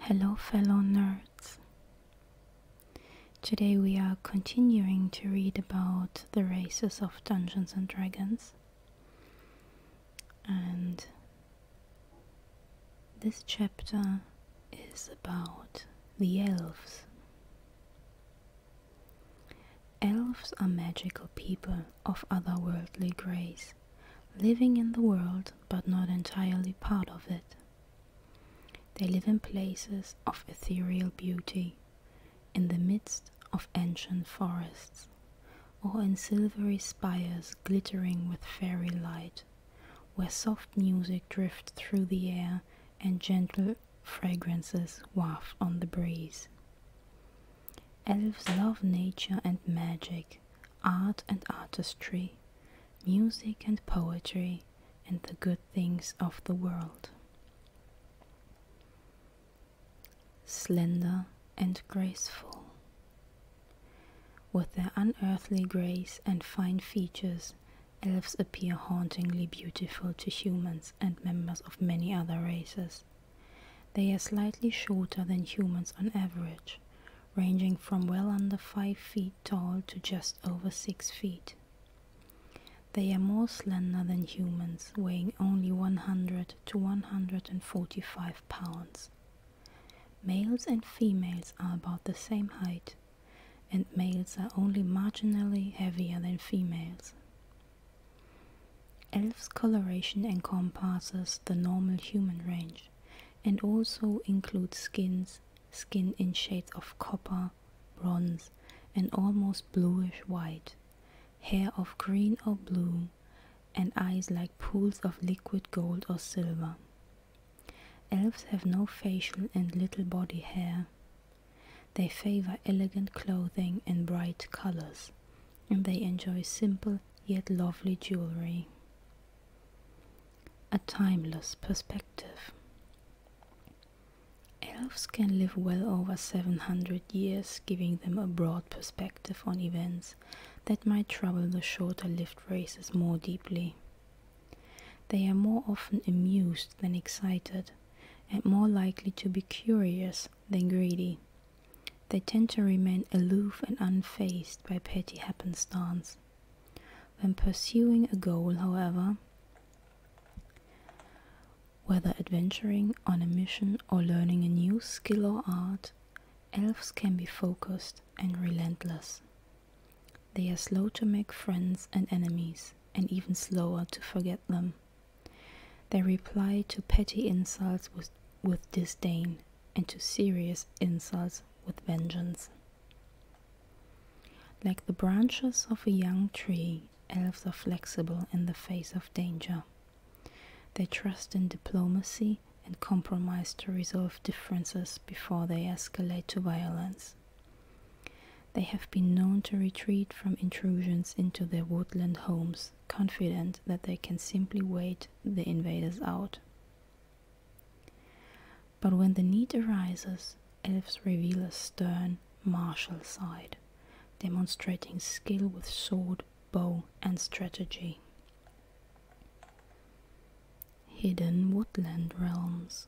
Hello, fellow nerds. Today we are continuing to read about the races of Dungeons and Dragons. And this chapter is about the elves. Elves are magical people of otherworldly grace living in the world but not entirely part of it. They live in places of ethereal beauty, in the midst of ancient forests, or in silvery spires glittering with fairy light, where soft music drifts through the air and gentle fragrances waft on the breeze. Elves love nature and magic, art and artistry, music and poetry, and the good things of the world. Slender and graceful. With their unearthly grace and fine features, elves appear hauntingly beautiful to humans and members of many other races. They are slightly shorter than humans on average, ranging from well under 5 feet tall to just over 6 feet. They are more slender than humans, weighing only 100 to 145 pounds. Males and females are about the same height, and males are only marginally heavier than females. Elves' coloration encompasses the normal human range and also includes skins, skin in shades of copper, bronze, and almost bluish white, hair of green or blue, and eyes like pools of liquid gold or silver. Elves have no facial and little body hair. They favor elegant clothing and bright colors, and they enjoy simple yet lovely jewelry. A timeless perspective. Elves can live well over 700 years, giving them a broad perspective on events that might trouble the shorter lived races more deeply. They are more often amused than excited, and more likely to be curious than greedy, they tend to remain aloof and unfazed by petty happenstance. When pursuing a goal, however, whether adventuring on a mission or learning a new skill or art, elves can be focused and relentless. They are slow to make friends and enemies, and even slower to forget them. They reply to petty insults with disdain and to serious insults with vengeance. Like the branches of a young tree, elves are flexible in the face of danger. They trust in diplomacy and compromise to resolve differences before they escalate to violence. They have been known to retreat from intrusions into their woodland homes confident that they can simply wait the invaders out. But when the need arises, elves reveal a stern, martial side, demonstrating skill with sword, bow, and strategy. Hidden Woodland Realms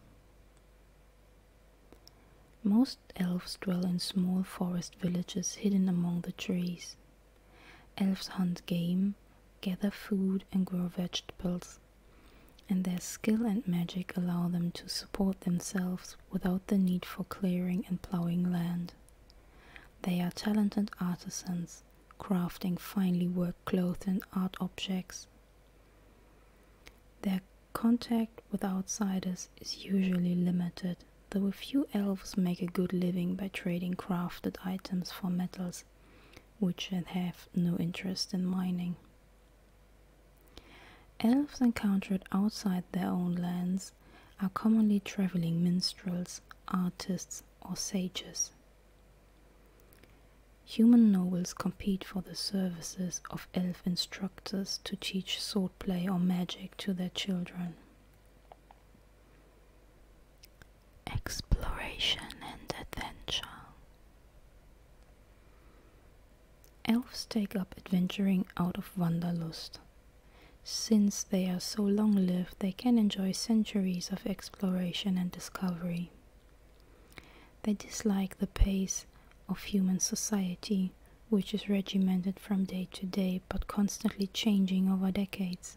most elves dwell in small forest villages hidden among the trees. Elves hunt game, gather food, and grow vegetables, and their skill and magic allow them to support themselves without the need for clearing and plowing land. They are talented artisans, crafting finely worked clothes and art objects. Their contact with outsiders is usually limited, though a few elves make a good living by trading crafted items for metals, which have no interest in mining. Elves encountered outside their own lands are commonly traveling minstrels, artists, or sages. Human nobles compete for the services of elf instructors to teach sword play or magic to their children. Exploration and adventure. Elves take up adventuring out of wanderlust. Since they are so long lived, they can enjoy centuries of exploration and discovery. They dislike the pace of human society, which is regimented from day to day but constantly changing over decades.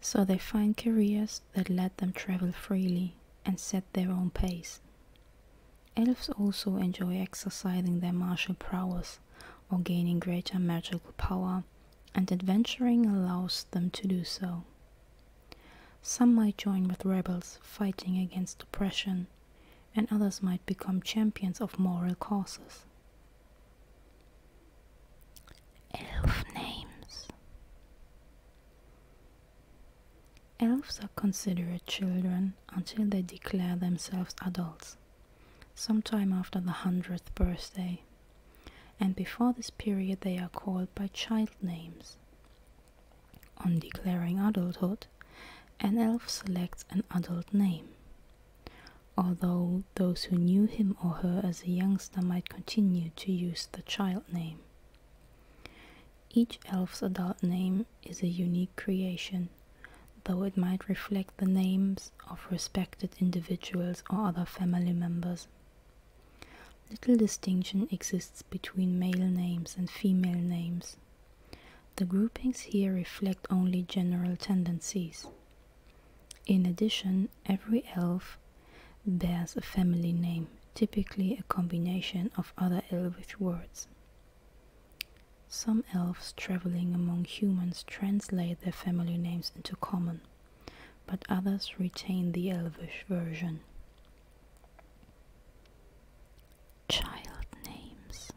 So they find careers that let them travel freely and set their own pace. Elves also enjoy exercising their martial prowess or gaining greater magical power, and adventuring allows them to do so. Some might join with rebels fighting against oppression, and others might become champions of moral causes. Elf names. Elves are considered children until they declare themselves adults, sometime after the hundredth birthday, and before this period they are called by child names. On declaring adulthood, an elf selects an adult name. Although those who knew him or her as a youngster might continue to use the child name. Each elf's adult name is a unique creation, though it might reflect the names of respected individuals or other family members. Little distinction exists between male names and female names, the groupings here reflect only general tendencies. In addition, every elf bears a family name, typically a combination of other elvish words. Some elves traveling among humans translate their family names into common, but others retain the elvish version. child names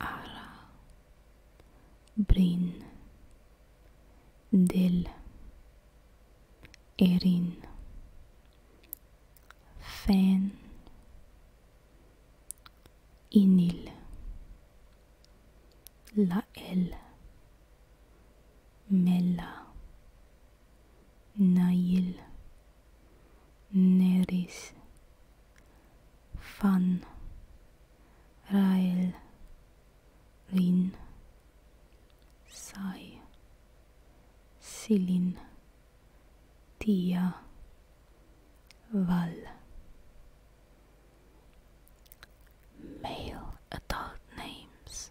Ara Brin Dil Erin Fan Inil Lael Mella Najil, Neris, Fan, Rael, Rin, Sai, Silin, Tija, Val. male adult names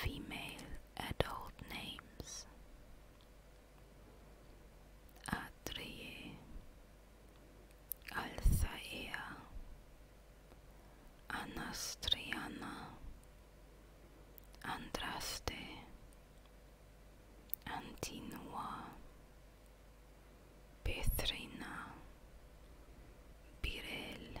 female adult names Atreya, Althaea, Anastriana, Andraste, Antinua, Pethrina, Birel,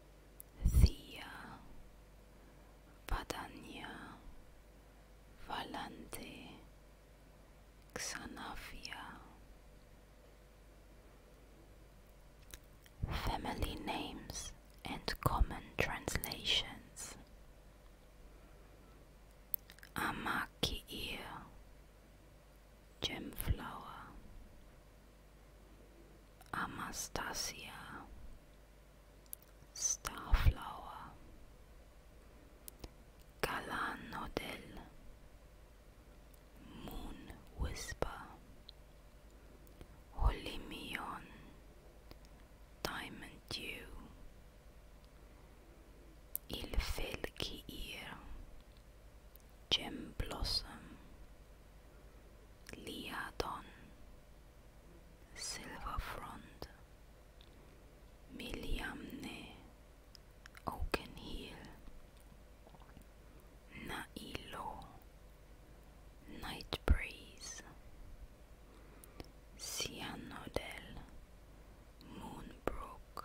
Thea, Vadanya, Valante, Xanafia. Family names and common translations. Amakiir, Gemflower. Anastasia Starflower Galanodel Moon Whisper Olimion Diamond Dew Ilfelki Ear Gem Blossom Lia Liadon, Silverfront, Miliamne, Oakenheel, Nailo, Night Breeze, Cyanodel, Moonbrook,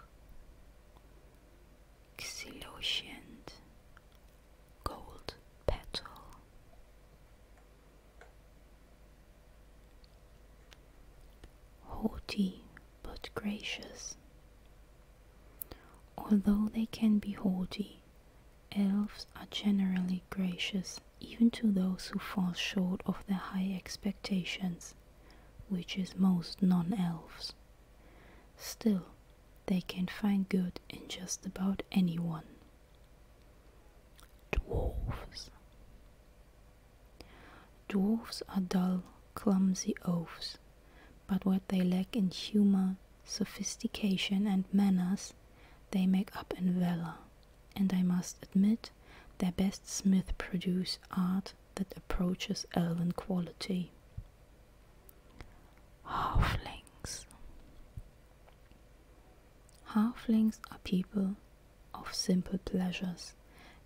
Xilocient, gold petal. Haughty but gracious. Although they can be haughty, elves are generally gracious even to those who fall short of their high expectations, which is most non elves. Still, they can find good in just about anyone. Dwarfs. Dwarfs are dull, clumsy oafs, but what they lack in humor, sophistication, and manners, they make up in valor. And I must admit, their best smith produce art that approaches elven quality. Halflings. Halflings are people of simple pleasures,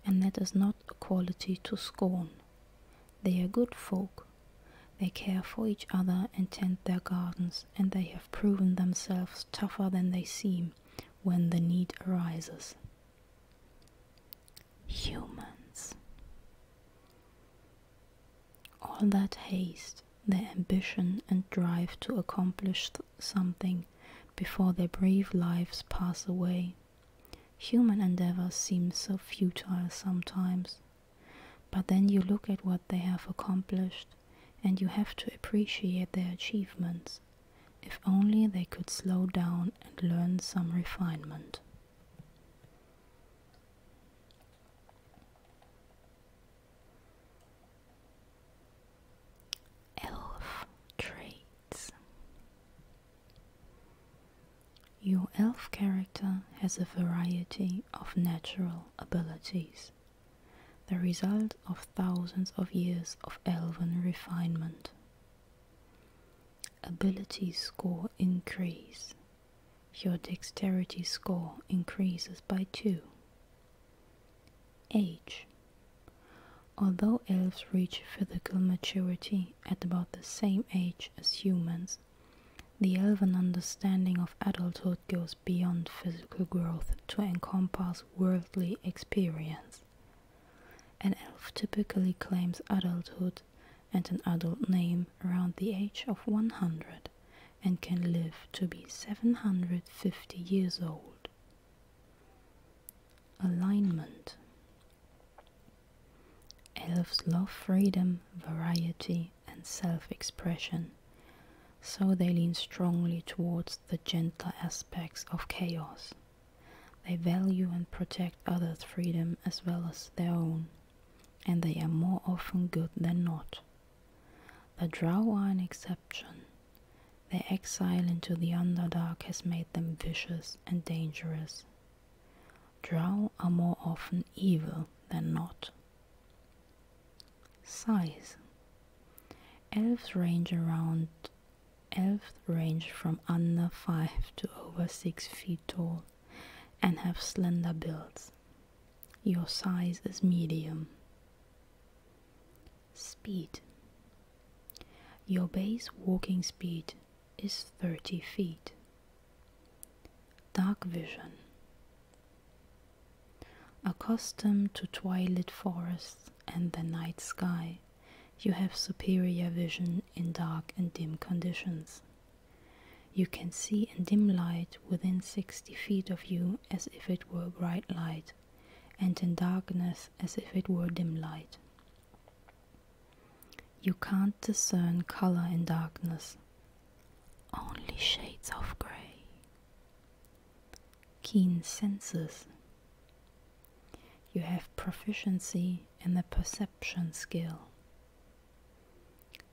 and that is not a quality to scorn. They are good folk. They care for each other and tend their gardens, and they have proven themselves tougher than they seem when the need arises. Humans. All that haste, their ambition and drive to accomplish something before their brave lives pass away. Human endeavours seem so futile sometimes. But then you look at what they have accomplished and you have to appreciate their achievements. If only they could slow down and learn some refinement. Elf traits. Your elf character has a variety of natural abilities, the result of thousands of years of elven refinement. Ability score increase. Your dexterity score increases by 2. Age. Although elves reach physical maturity at about the same age as humans, the elven understanding of adulthood goes beyond physical growth to encompass worldly experience. An elf typically claims adulthood and an adult name around the age of 100 and can live to be 750 years old. Alignment Elves love freedom, variety, and self expression, so they lean strongly towards the gentler aspects of chaos. They value and protect others' freedom as well as their own and they are more often good than not. The Drow are an exception. Their exile into the Underdark has made them vicious and dangerous. Drow are more often evil than not. Size Elves range around elves range from under 5 to over 6 feet tall and have slender builds. Your size is medium. Speed. Your base walking speed is 30 feet. Dark vision. Accustomed to twilight forests and the night sky, you have superior vision in dark and dim conditions. You can see in dim light within 60 feet of you as if it were bright light, and in darkness as if it were dim light. You can't discern color in darkness, only shades of grey. Keen senses. You have proficiency and the perception skill.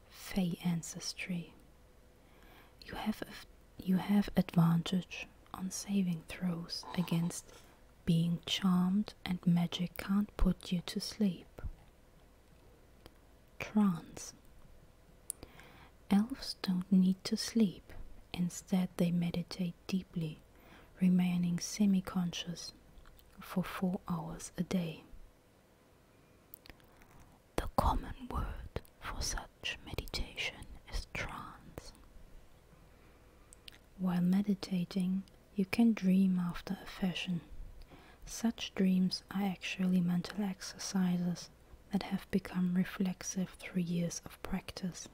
Fey ancestry. You have you have advantage on saving throws against being charmed and magic can't put you to sleep. Trance. Elves don't need to sleep. Instead, they meditate deeply, remaining semi conscious, for four hours a day. The common word for such meditation is trance. While meditating, you can dream after a fashion. Such dreams are actually mental exercises that have become reflexive through years of practice.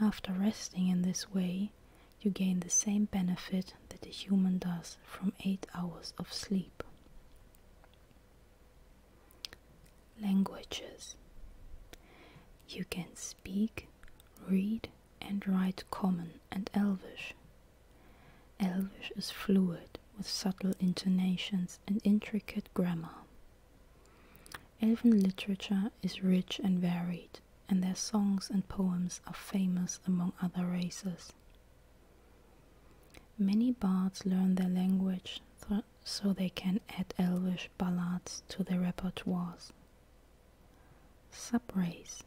After resting in this way, you gain the same benefit that a human does from 8 hours of sleep. Languages You can speak, read, and write Common and Elvish. Elvish is fluid with subtle intonations and intricate grammar. Elven literature is rich and varied, and their songs and poems are famous among other races. Many bards learn their language so they can add Elvish ballads to their repertoires. Subrace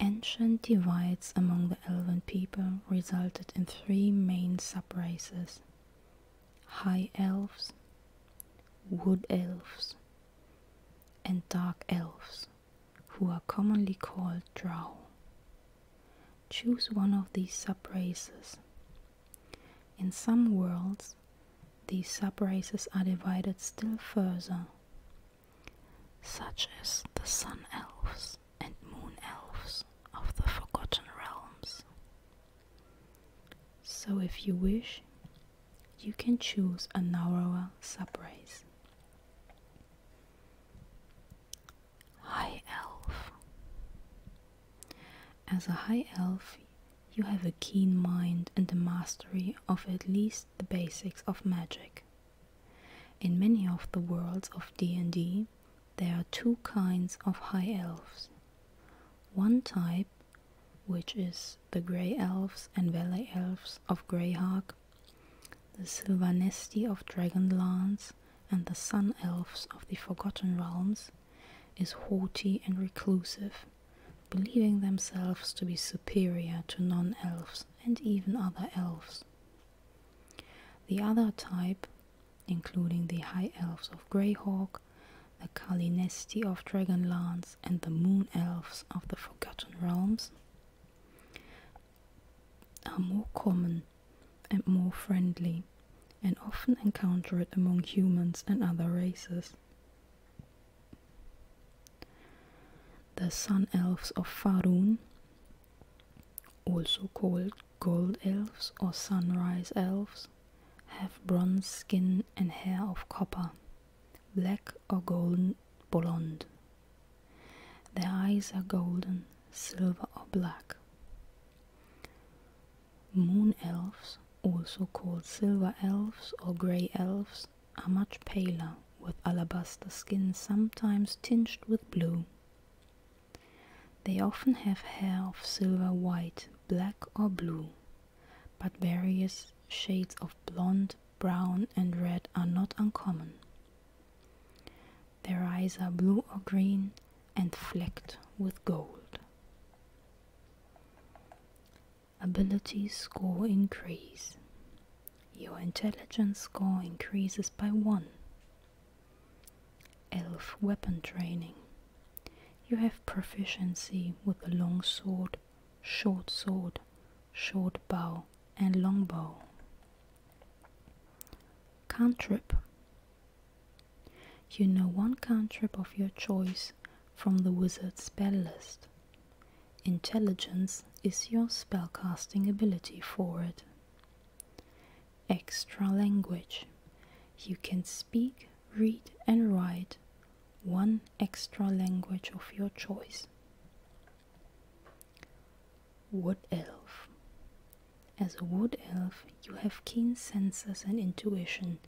Ancient divides among the Elven people resulted in three main subraces high elves, wood elves, and dark elves, who are commonly called drow. Choose one of these subraces. In some worlds, these subraces are divided still further, such as the sun elves and moon elves of the Forgotten Realms. So, if you wish, you can choose a narrower subrace. High Elf As a High Elf, you have a keen mind and the mastery of at least the basics of magic. In many of the worlds of D&D, there are two kinds of High Elves. One type which is the Grey Elves and Valley Elves of Greyhawk, the Sylvanesti of Dragonlance, and the Sun Elves of the Forgotten Realms, is haughty and reclusive, believing themselves to be superior to non elves and even other elves. The other type, including the High Elves of Greyhawk, the Kalinesti of Dragonlance, and the Moon Elves of the Forgotten Realms are more common and more friendly, and often encountered among humans and other races. The Sun Elves of Farun, also called Gold Elves or Sunrise Elves, have bronze skin and hair of copper, black or golden blond. Their eyes are golden, silver, or black. Moon elves, also called silver elves or grey elves, are much paler, with alabaster skin sometimes tinged with blue. They often have hair of silver white, black, or blue but various shades of blond, brown, and red are not uncommon. Their eyes are blue or green and flecked with gold. Ability score increase. Your intelligence score increases by 1. Elf weapon training. You have proficiency with the long sword, short sword, short bow, and long bow. Cantrip. You know one cantrip of your choice from the wizard spell list. Intelligence is your spellcasting ability for it. Extra language. You can speak read and write one extra language of your choice. Wood elf. As a wood elf, you have keen senses and intuition,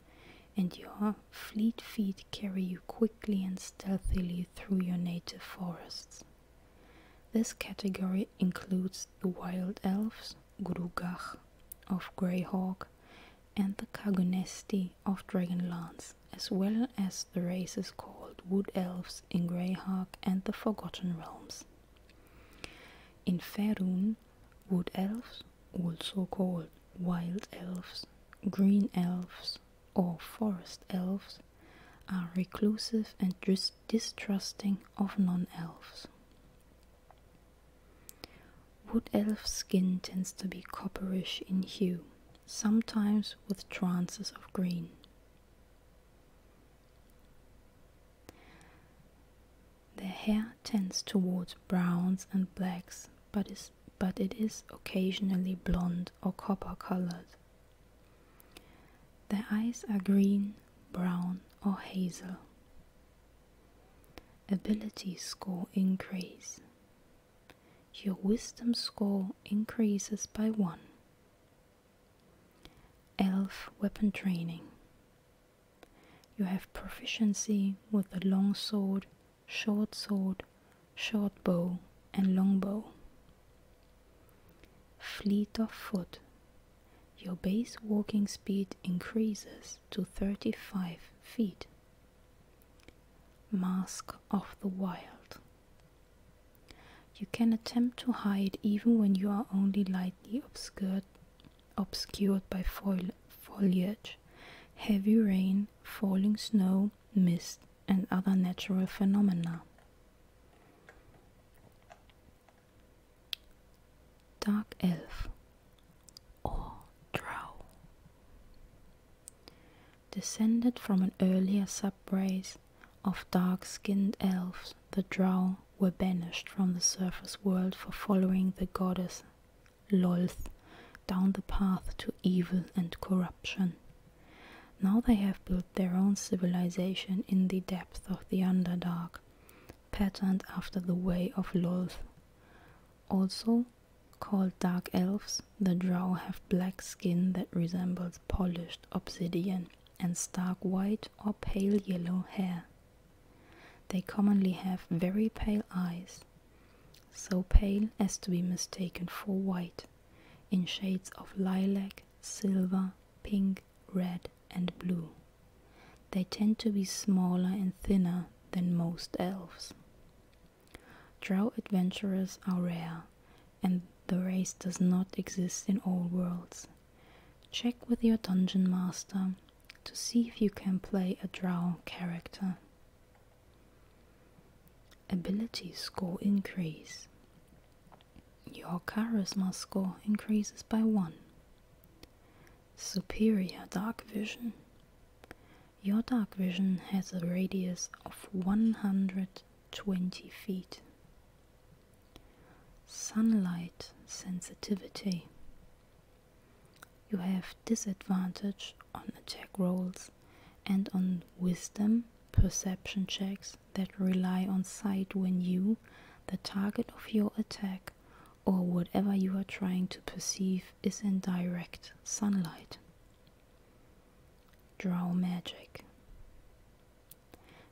and your fleet feet carry you quickly and stealthily through your native forests. This category includes the wild elves, Grugach of Greyhawk and the Kagunesti of Dragonlance, as well as the races called Wood Elves in Greyhawk and the Forgotten Realms. In Faerun, Wood Elves, also called Wild Elves, Green Elves, or Forest Elves, are reclusive and dis distrusting of non elves. Wood elf skin tends to be copperish in hue, sometimes with trances of green. Their hair tends toward browns and blacks, but, is, but it is occasionally blond or copper colored. Their eyes are green, brown, or hazel. Ability score increase. Your wisdom score increases by 1. Elf weapon training. You have proficiency with the long sword, short sword, short bow, and long bow. Fleet of foot your base walking speed increases to 35 feet. Mask of the Wild. You can attempt to hide even when you are only lightly obscured, obscured by foliage, heavy rain, falling snow, mist, and other natural phenomena dark elf or drow. Descended from an earlier subrace of dark skinned elves, the drow were banished from the surface world for following the goddess Lolth down the path to evil and corruption. Now they have built their own civilization in the depths of the Underdark, patterned after the way of Lolth. Also called dark elves, the drow have black skin that resembles polished obsidian and stark white or pale yellow hair. They commonly have very pale eyes, so pale as to be mistaken for white, in shades of lilac, silver, pink, red, and blue. They tend to be smaller and thinner than most elves. Drow adventurers are rare, and the race does not exist in all worlds. Check with your dungeon master to see if you can play a drow character. Ability score increase. Your charisma score increases by 1. Superior dark vision. Your dark vision has a radius of 120 feet. Sunlight sensitivity. You have disadvantage on attack rolls and on wisdom perception checks that rely on sight when you the target of your attack or whatever you are trying to perceive is in direct sunlight. Draw magic.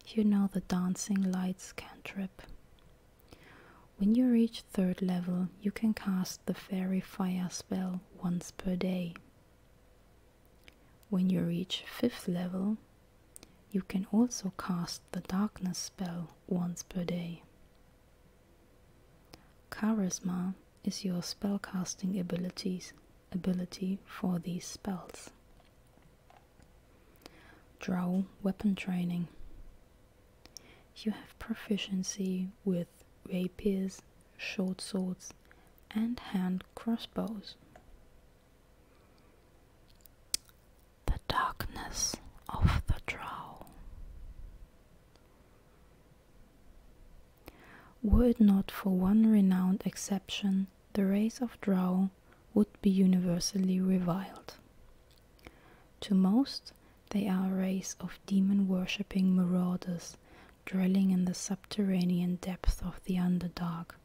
You know the dancing lights can trip. When you reach third level, you can cast the fairy fire spell once per day. When you reach fifth level, you can also cast the darkness spell once per day. Charisma is your spellcasting abilities ability for these spells. Draw weapon training. You have proficiency with rapiers, short swords, and hand crossbows. The darkness of the drow. Were it not for one renowned exception, the race of drow would be universally reviled. To most, they are a race of demon worshipping marauders, dwelling in the subterranean depths of the Underdark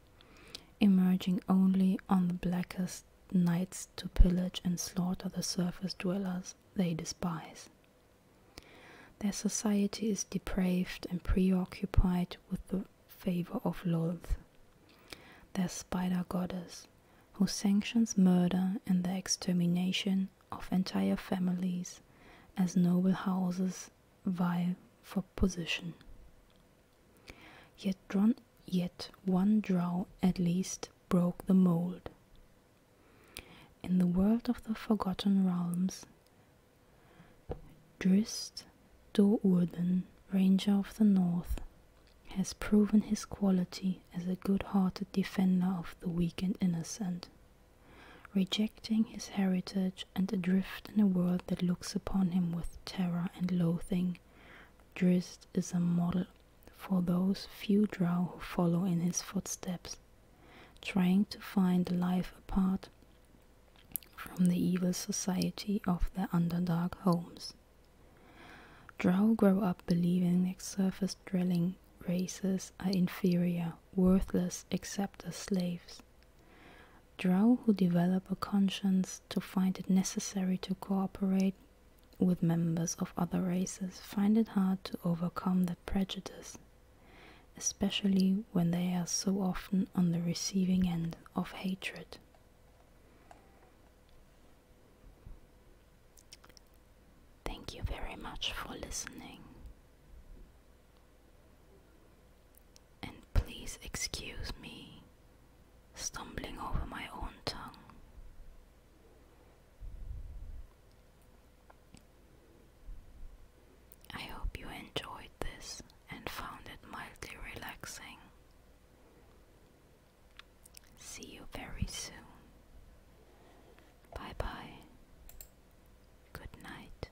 emerging only on the blackest nights to pillage and slaughter the surface dwellers they despise. Their society is depraved and preoccupied with the favor of Lolth, their spider goddess, who sanctions murder and the extermination of entire families as noble houses vie for position. Yet, one draw at least broke the mold. In the world of the forgotten realms, Drist Do'Urden, Ranger of the North, has proven his quality as a good hearted defender of the weak and innocent, rejecting his heritage and adrift in a world that looks upon him with terror, and loathing, Drizzt is a model for those few drow who follow in his footsteps, trying to find life apart from the evil society of their underdark homes. Drow grow up believing that surface dwelling races are inferior, worthless except as slaves. Drow who develop a conscience to find it necessary to cooperate with members of other races find it hard to overcome that prejudice, especially when they are so often on the receiving end of hatred. Thank you very much for listening and please excuse me stumbling over my own tongue. I hope you enjoyed this and found it mildly relaxing. See you very soon. Bye bye. Good night.